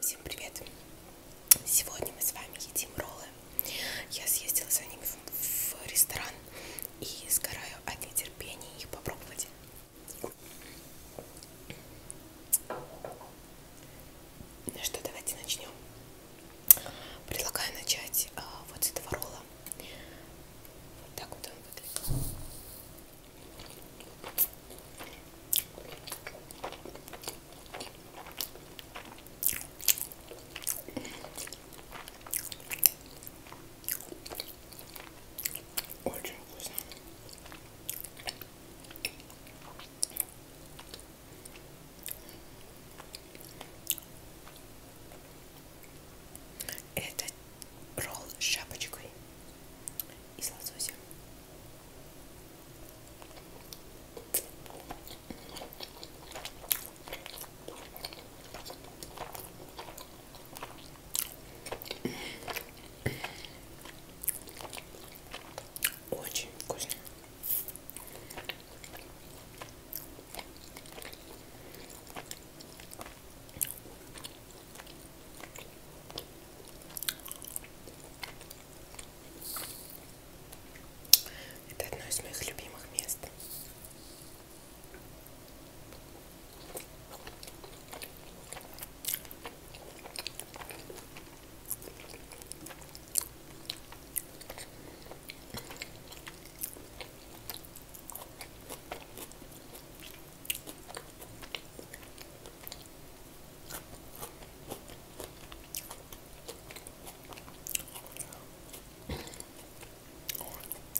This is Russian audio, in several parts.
Всем привет! Сегодня мы с вами едим роллы. Я съездила за ними в ресторан и сгораю от нетерпения их попробовать. Ну что, давайте начнем. Предлагаю начать а, вот с этого ролла. Вот так вот он выглядит. Очень вкусно. Это ролл с шапочкой из лосося. Очень вкусно. Это одно из моих любимых мест.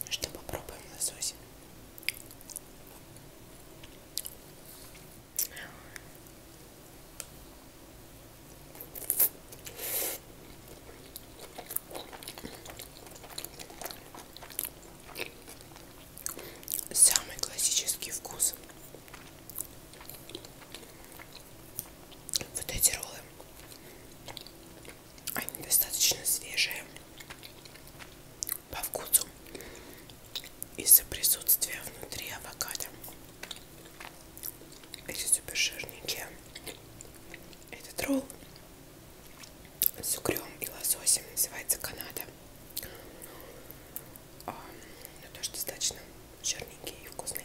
Ну что, попробуем лосось. Самый классический вкус. Вот эти роллы. Они достаточно свежие по вкусу из-за присутствия внутри авокадо. Эти супер жирненькие. Этот ролл с угрем и лососем, называется Канада. А, но ну, тоже достаточно жирненький и вкусный.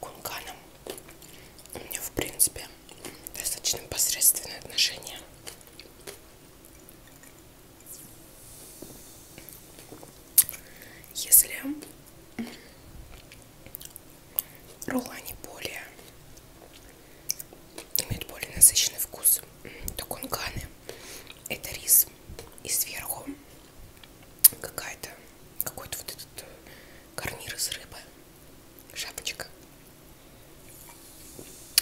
кунканом у меня в принципе достаточно посредственные отношения если роллы они более имеют более насыщенный вкус то кунканы это рис и сверху какая-то, какой-то вот этот э, гарнир из рыбы, шапочка,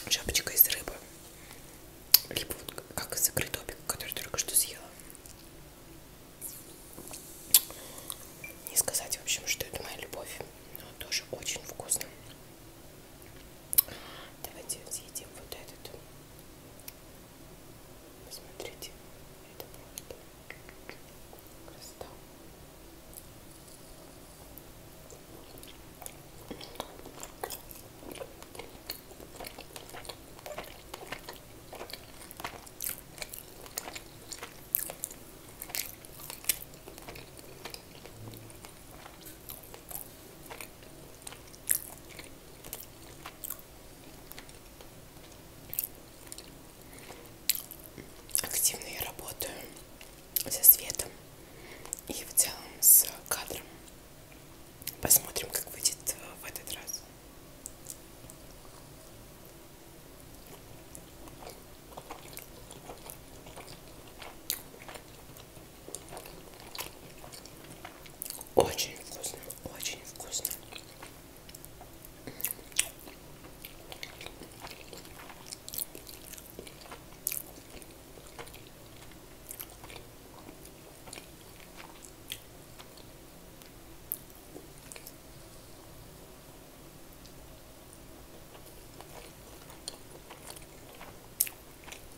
шапочка из рыбы, либо вот как закрытый топик, который только что съела. Не сказать, в общем, что это моя любовь, но тоже очень вкусно. Давайте съедим вот этот. Посмотрите, это просто красота. Активно я работаю со светом и в целом с кадром. Посмотрим, как выйдет э, в этот раз. Очень вкусно, очень вкусно.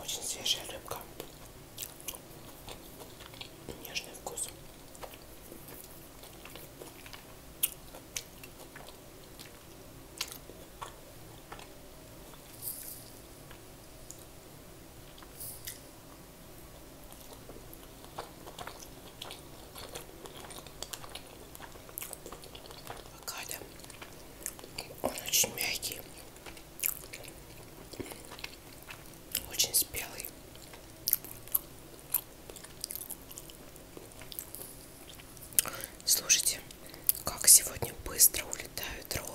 Очень свежая рыбка нежный вкус Авокадо. Он очень мягкий, очень спелый. Слушайте, как сегодня быстро улетают роллы.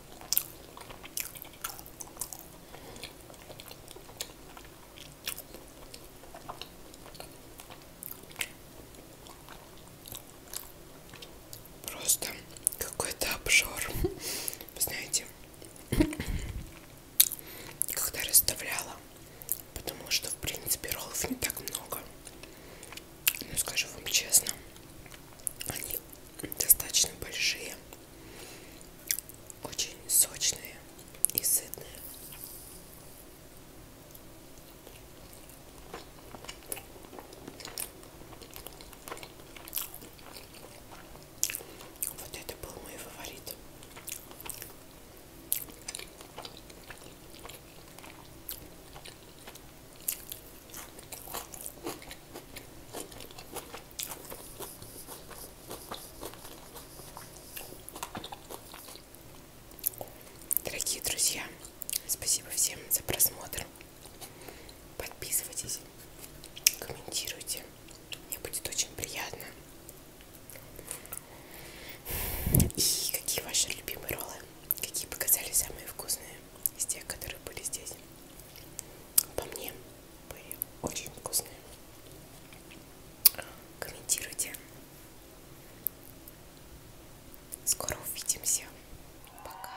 Просто какой-то обжор. Вы знаете, когда расставляла, потому что в принципе роллов не так много. Ну, скажу вам честно, они достаточно большие, очень сочные и сытные. Вот это был мой фаворит. Дорогие друзья, спасибо всем за просмотр. Подписывайтесь, комментируйте. Мне будет очень приятно. И какие ваши любимые роллы? Какие показали самые вкусные? единственное из тех, которые были здесь. По мне были очень вкусные. Комментируйте. Скоро увидимся. Пока.